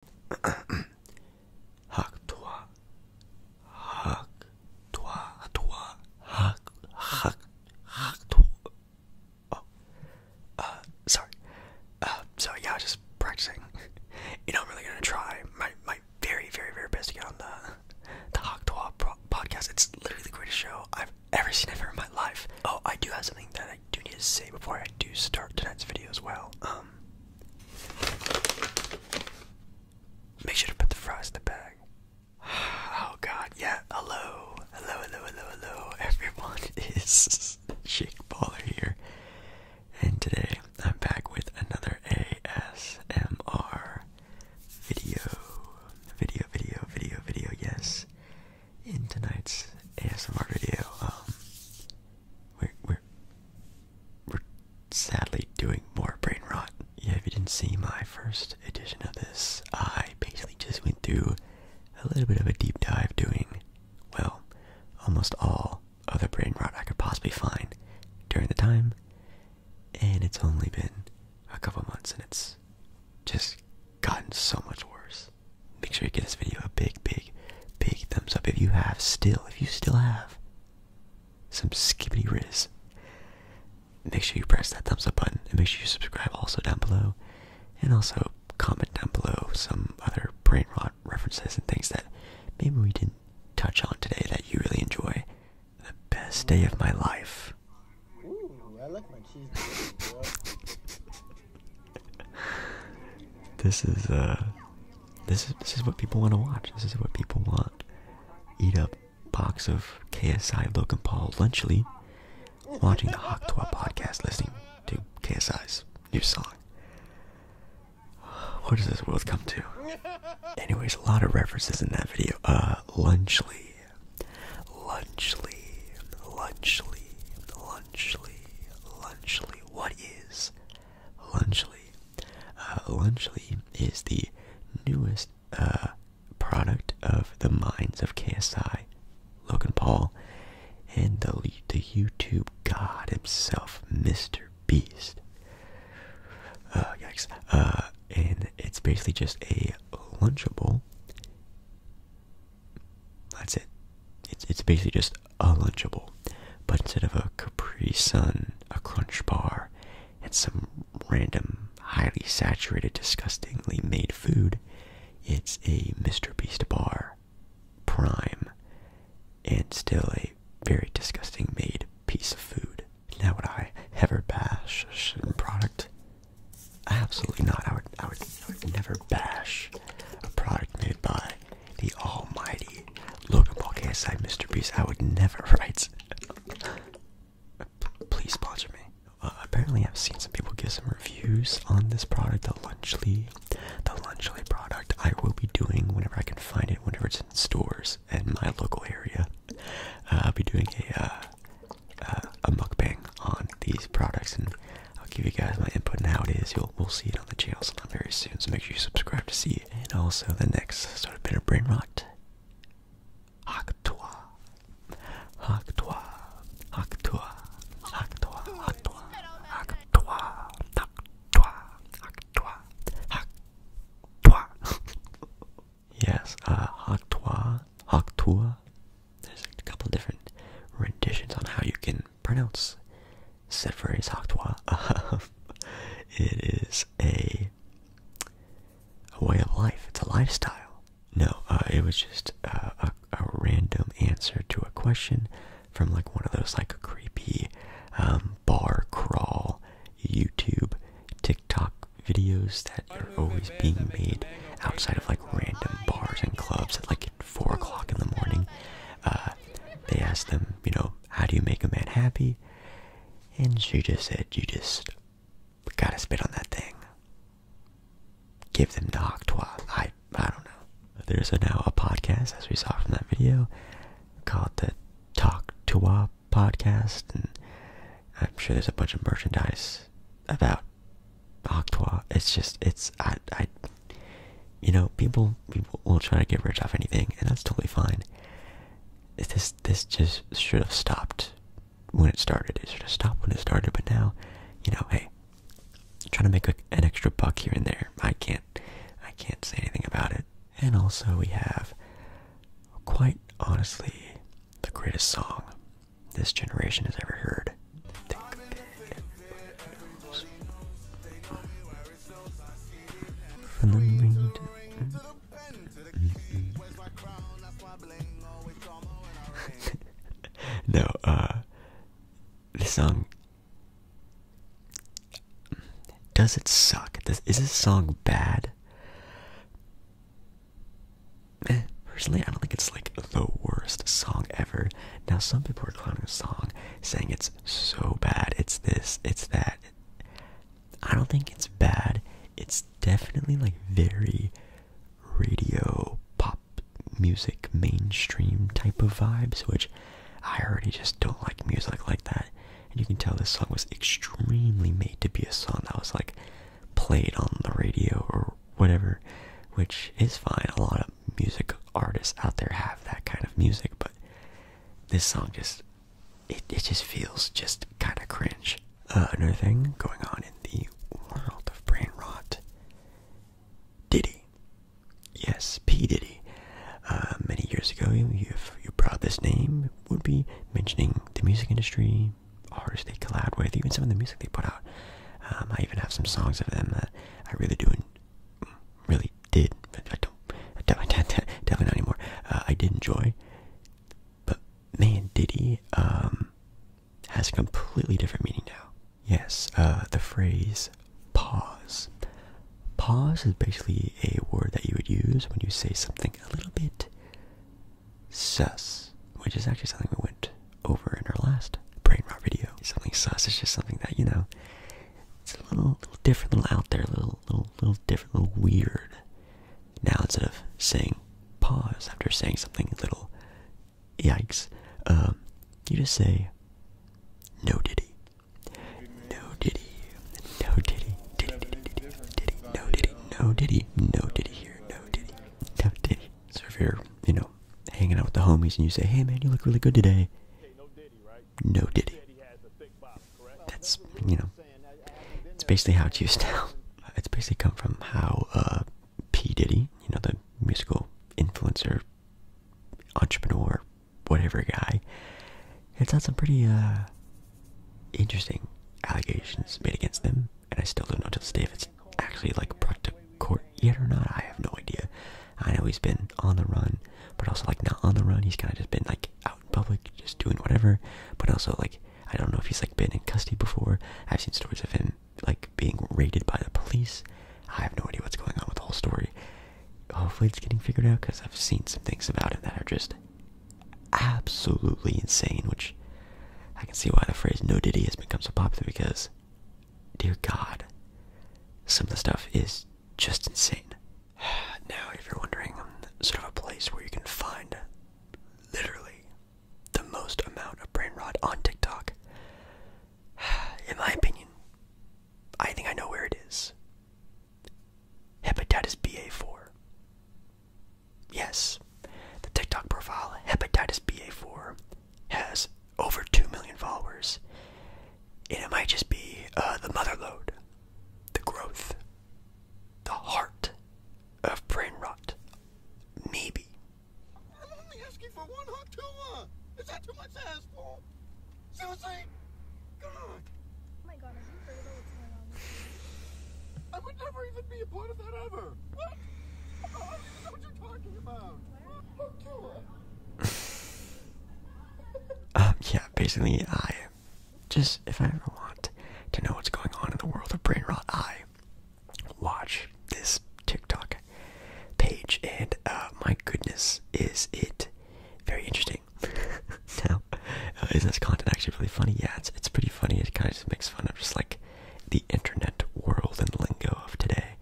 Hak toi. Hak toi. Toi. Hak. Hak. Hak toi. Oh. Uh, sorry. Uh, so yeah, just practicing. You know, I'm really gonna try my my very very very best to get on the the Hak toi podcast. It's literally the greatest show I've ever seen ever in my life. Oh, I do have something that I do need to say before I do start tonight's video as well. Um, Make sure to put the fries in the bag. Oh god, yeah, hello, hello, hello, hello, hello, everyone, is Shake here, and today I'm back with another ASMR video, video, video, video, video, yes, in tonight's ASMR video, um, we're we're we're sadly doing more brain rot. Yeah, if you didn't see my first edition of this, I basically just went through a little bit of a deep dive doing well, almost all other brain rot I could possibly find during the time. And it's only been a couple months and it's just gotten so much worse make sure you give this video a big, big, big thumbs up if you have still, if you still have some skibbity riz. Make sure you press that thumbs up button and make sure you subscribe also down below. And also comment down below some other brain rot references and things that maybe we didn't touch on today that you really enjoy. The best day of my life. this is uh this is this is what people want to watch. This is what people want. Eat up box of KSI Logan Paul lunchly, watching the Hawk Tour podcast, listening to KSI's new song. What does this world come to? Anyways, a lot of references in that video. Uh, lunchly, lunchly, lunchly, lunchly, Lunchly, Lunchly. What is Lunchly? Uh, Lunchly is the newest uh, product of the minds of KSI, Logan Paul, and the, the YouTube god himself, Mr. Beast. Uh, yikes. and it's basically just a Lunchable that's it. It's basically just a lunchable, but instead of a Capri Sun, a Crunch Bar, and some random highly saturated, disgustingly made food, it's a Mr. Beast bar, prime, and still a very disgusting made piece of food. Now, would I ever bash a product? Absolutely not. I would, I would, I would never bash a product made by the almighty Logan Paul KSI Mr. Beast. I would never write. Please sponsor me. Uh, apparently, I've seen some people give some reviews on this product, the Lunchly, the Lunchly product. I will be doing whenever I can find it, whenever it's in stores in my local area. Uh, I'll be doing a uh, a mukbang on these products, and I'll give you guys my input on how it is. You'll we'll see it on the channel sometime very soon. So make sure you subscribe to see it, and also the next sort of bit of brain rot. Haktua, haktua, haktua, haktua, haktua, haktua, haktua, haktua, haktua. Yes, uh, haktua, there's a couple different renditions on how you can pronounce Sevres Octois. Um, it is a a way of life. It's a lifestyle. No, uh, it was just uh, a, random answer to a question from like one of those like creepy um, bar crawl YouTube TikTok videos that are always being made outside of like random bars and clubs at like four o'clock in the morning. Uh, they asked them, you know, how do you make a man happy? And she just said, you just gotta spit on that thing. Give them the octroi. I I don't know. There's now a podcast, as we saw from that video, called the Talk to Wop podcast, and I'm sure there's a bunch of merchandise about Octua. It's just it's I I you know, people people will try to get rich off anything and that's totally fine. This this just should have stopped when it started. It should have stopped when it started, but now, you know, hey, trying to make an extra buck here and there. I can't I can't say anything about it. And also we have quite honestly the greatest song this generation has ever heard. the no, uh, this song does it suck? Does, is this song bad? Eh, personally, I don't think it's like the worst song ever. Now, some people are clowning the song, saying it's so bad, it's this, it's that. I don't think it's bad. It's definitely like very radio pop music mainstream type of vibes, which I already just don't like music like that. And you can tell this song was extremely made to be a song I was like played on the radio or whatever, which is fine. A lot of music artists out there have that kind of music, but this song just it it just feels just kind of cringe. Uh, another thing going on in the world of brain rot. Diddy, yes, P Diddy. Uh, many years ago, if you brought this name, would be mentioning the music industry, many artists they collab with, even some of the music they put out. Um, I even have some songs of them that I really do, and really did. I don't, I definitely, definitely not anymore. Uh, I did enjoy, but man, Diddy um, has a completely different meaning now. Yes, uh, the phrase pause. Pause is basically a word that you would use when you say something a little bit sus, which is actually something we went over in our last brain rot video. Something sus is just something that you know, it's a little, different, a little out there, little, little, little different, little weird. Now instead of saying pause after saying something little yikes, um, you just say no diddy, no diddy, no diddy, diddy, diddy, diddy, no diddy, no diddy, no diddy here, no diddy, no diddy. So if you're, you know, hanging out with the homies and you say, hey man, you look really good today, no diddy. That's, you know, it's basically how it's used now. It's basically come from how uh, P. Diddy, you know, the musical influencer, entrepreneur, whatever guy, it's had some pretty uh, interesting allegations made against them, and I still don't know to this day if it's actually like brought to court yet or not. I have no idea. I know he's been on the run, but also like not on the run. He's kind of just been like out in public, just doing whatever. But also like I don't know if he's like been in custody before. I've seen stories of him like being raided by the police. I have no idea what's going on with the whole story. Hopefully, it's getting figured out because I've seen some things about it that are just absolutely insane, which I can see why the phrase no Diddy has become so popular because, dear God, some of the stuff is just insane. Now, if you're wondering, sort of a place where you can find literally the most amount of brain rot on TikTok, in my opinion, I think I know where it is. Hepatitis BA4. Yes, the TikTok profile Hepatitis BA4 has over 2 million followers. And it might just be uh, the mother load, the growth, the heart of brain rot. Maybe. Susie! God! Oh my god, have you heard about what's going on I would never even be a part of that ever! What? Oh, I you talking about! How cute! uh, yeah, basically, I just, if I ever want to know what's going on in the world of brain rot, I watch this TikTok page, and uh, my goodness, is it very interesting anything. now, uh, is this content actually really funny? Yeah, it's it's pretty funny. It kind of just makes fun of just like the internet world and lingo of today.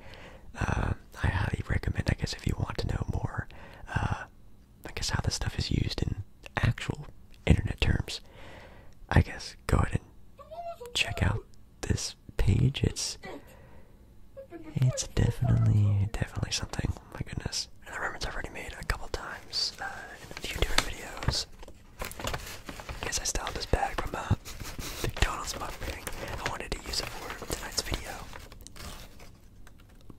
Um, I highly recommend. I guess if you want to know more, uh, I guess how this stuff is used in actual internet terms. I guess go ahead and check out this page. It's it's definitely definitely something my goodness. And the reference I've already made a couple times uh, in a few different videos. I guess I still this bag from uh, McDonald's mukbang. I wanted to use it for tonight's video.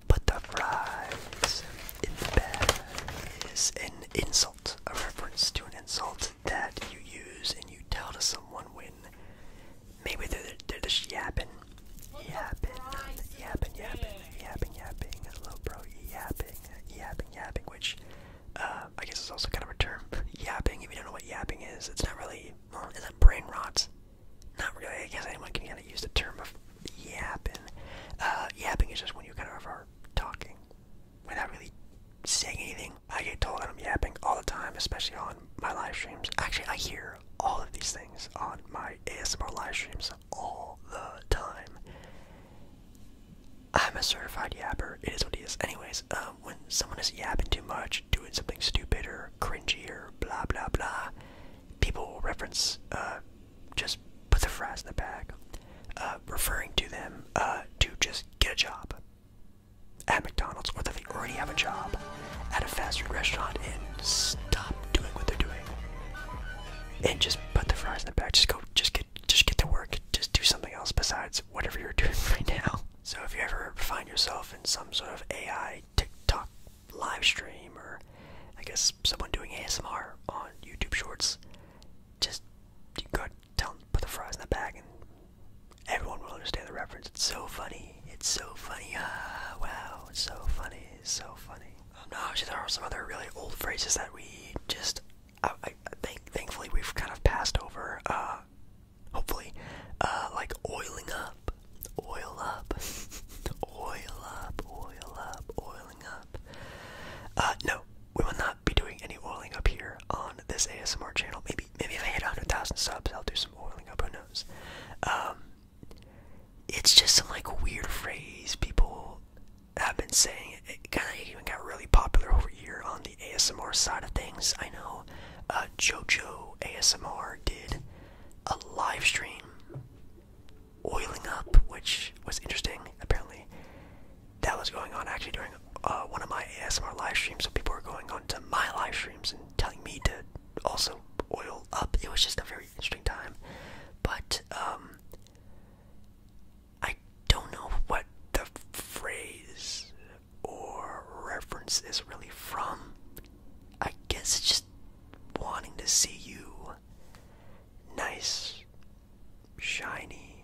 Put the fries in the bed is an insult, a reference to an insult that you use and you tell to someone when Maybe they're, they're just yapping. Yapping, yapping, yapping, yapping, yapping, little bro, yapping, yapping, yapping, which uh, I guess is also kind of a term. yapping, if you don't know what yapping is, it's not really, is it brain rot? Not really, I guess anyone can kind of use the term of yapping. Uh, yapping is just when you kind of are talking without really saying anything. I get told that I'm yapping all the time, especially on my live streams. Actually, I hear all of these things on my ASMR live streams all the time. I'm a certified yapper. It is what it is. Anyways, um, when someone is yapping too much, doing something stupid or cringy or blah blah blah, people reference, uh, just put the fries in the bag, uh, referring to them, uh, to just get a job at McDonald's or the already have a job at a fast food restaurant and stop doing what they're doing and just put the fries in the bag. just go just get just get to work just do something else besides whatever you're doing right now so if you ever find yourself in some sort of ai tiktok live stream or i guess someone doing asmr on youtube shorts just you go tell put the fries in the bag and everyone will understand the reference it's so funny funny. It's so funny. Ah, wow. It's so funny. It's so funny. Um, no, actually, there are some other really old phrases that we just, I, I think, thankfully, we've kind of passed over. Uh, hopefully, uh, like oiling up, oil up, oil up, oil up, oiling up. Uh, no, we will not be doing any oiling up here on this ASMR channel. Maybe, maybe if I hit 100,000 subs, I'll do some oiling up, who knows? Um, it's just some like weird phrase people have been saying. It kind of even got really popular over here on the ASMR side of things. I know uh, JoJo ASMR did a live stream oiling up, which was interesting. Apparently, that was going on actually during uh, one of my ASMR live streams. So people were going on to my live streams and telling me to also oil up. It was just a very interesting time, but um, I don't know what the phrase or reference is really from. I guess just wanting to see you nice, shiny,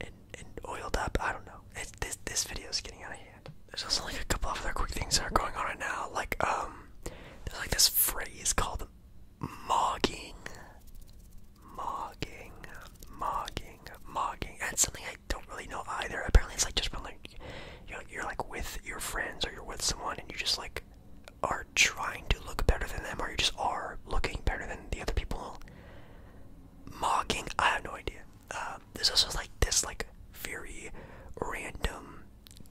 and and oiled up. I don't know. this this video is getting out of hand. There's also like a couple of other quick things that are going on right now. Like um, there's like this phrase called mogging, mogging, mocking, mocking. And something I don't really know either. Apparently, it's like just when like you're, you're like with your friends or you're with someone and you just like are trying to look better than them or you just are looking better than the other people. Mocking. I have no idea. Um, there's also like this like very random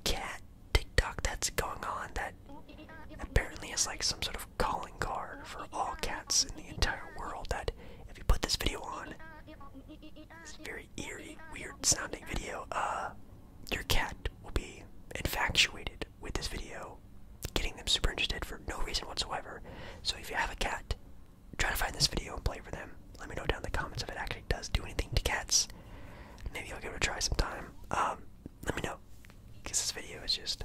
cat TikTok that's going on that apparently is like some sort of calling card for all cats in the entire world. That if you put this video on, this very eerie, weird sounding video, uh, your cat will be infatuated with this video, getting them super interested for no reason whatsoever. So if you have a cat, try to find this video and play for them. Let me know down in the comments if it actually does do anything to cats. Maybe I'll give it a try sometime. Um, let me know. Because this video is just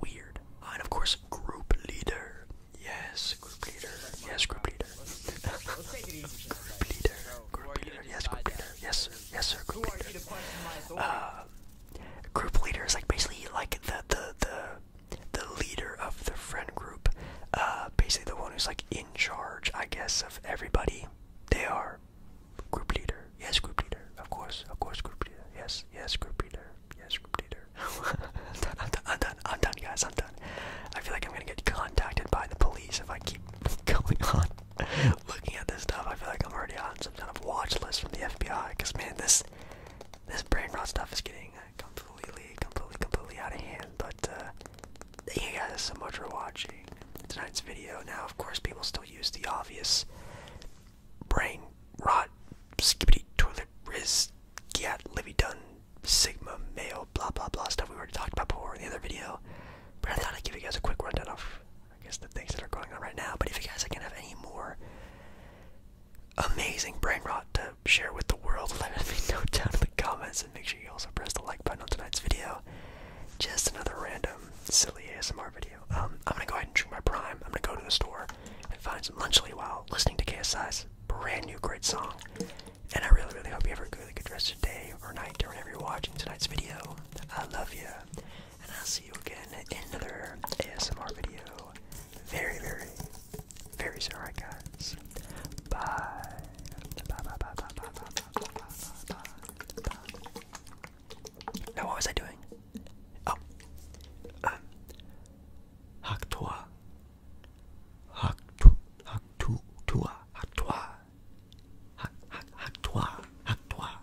weird. and of course, group leader. Yes, group leader. Yes, group leader. Let's group leader. Group leader. Yes, group leader. Yes, sir. Yes, sir. Group leader. Uh, group leader is like basically like the the the the leader of the friend group, uh, basically the one who's like in charge, I guess, of everybody. They are group leader. Yes, group leader. Of course, of course, group leader. Yes, yes, group leader. Yes, group leader. I'm, done, I'm, done, I'm done. guys. I'm done. I feel like I'm gonna get contacted by the police if I keep going on looking at this stuff. I feel like I'm already on some kind of watch list from the FBI. Cause man, this this brain rot stuff is getting uh, completely, completely, completely out of hand. But uh, thank you guys so much for watching tonight's video. Now, of course, people still use the obvious brain rot, skibbity toilet riz, get Livy done, Sigma mayo, blah blah blah stuff we already talked about before in the other video. But I thought I'd give you guys a quick rundown of I guess the things that are going on right now. But if you guys can have any more amazing brain rot to share with the world, let me know down in the comments and make sure you also press the like button on tonight's video. Just another random silly ASMR video. Um, I'm gonna go ahead and drink my prime. I'm gonna go to the store and find some lunchly while listening to KSI's brand new great song. And I really, really hope you have a really good rest of day or night or whenever you're watching tonight's video. I love you and I'll see you again in another ASMR video very, very, very soon, alright guys? Bye. Bye, bye, bye, bye, bye, bye, bye, bye, bye, bye. Now, what was I doing? Oh. Um. Haktua. Haktu. Haktu. Tua. Haktua. Haktua. Haktua.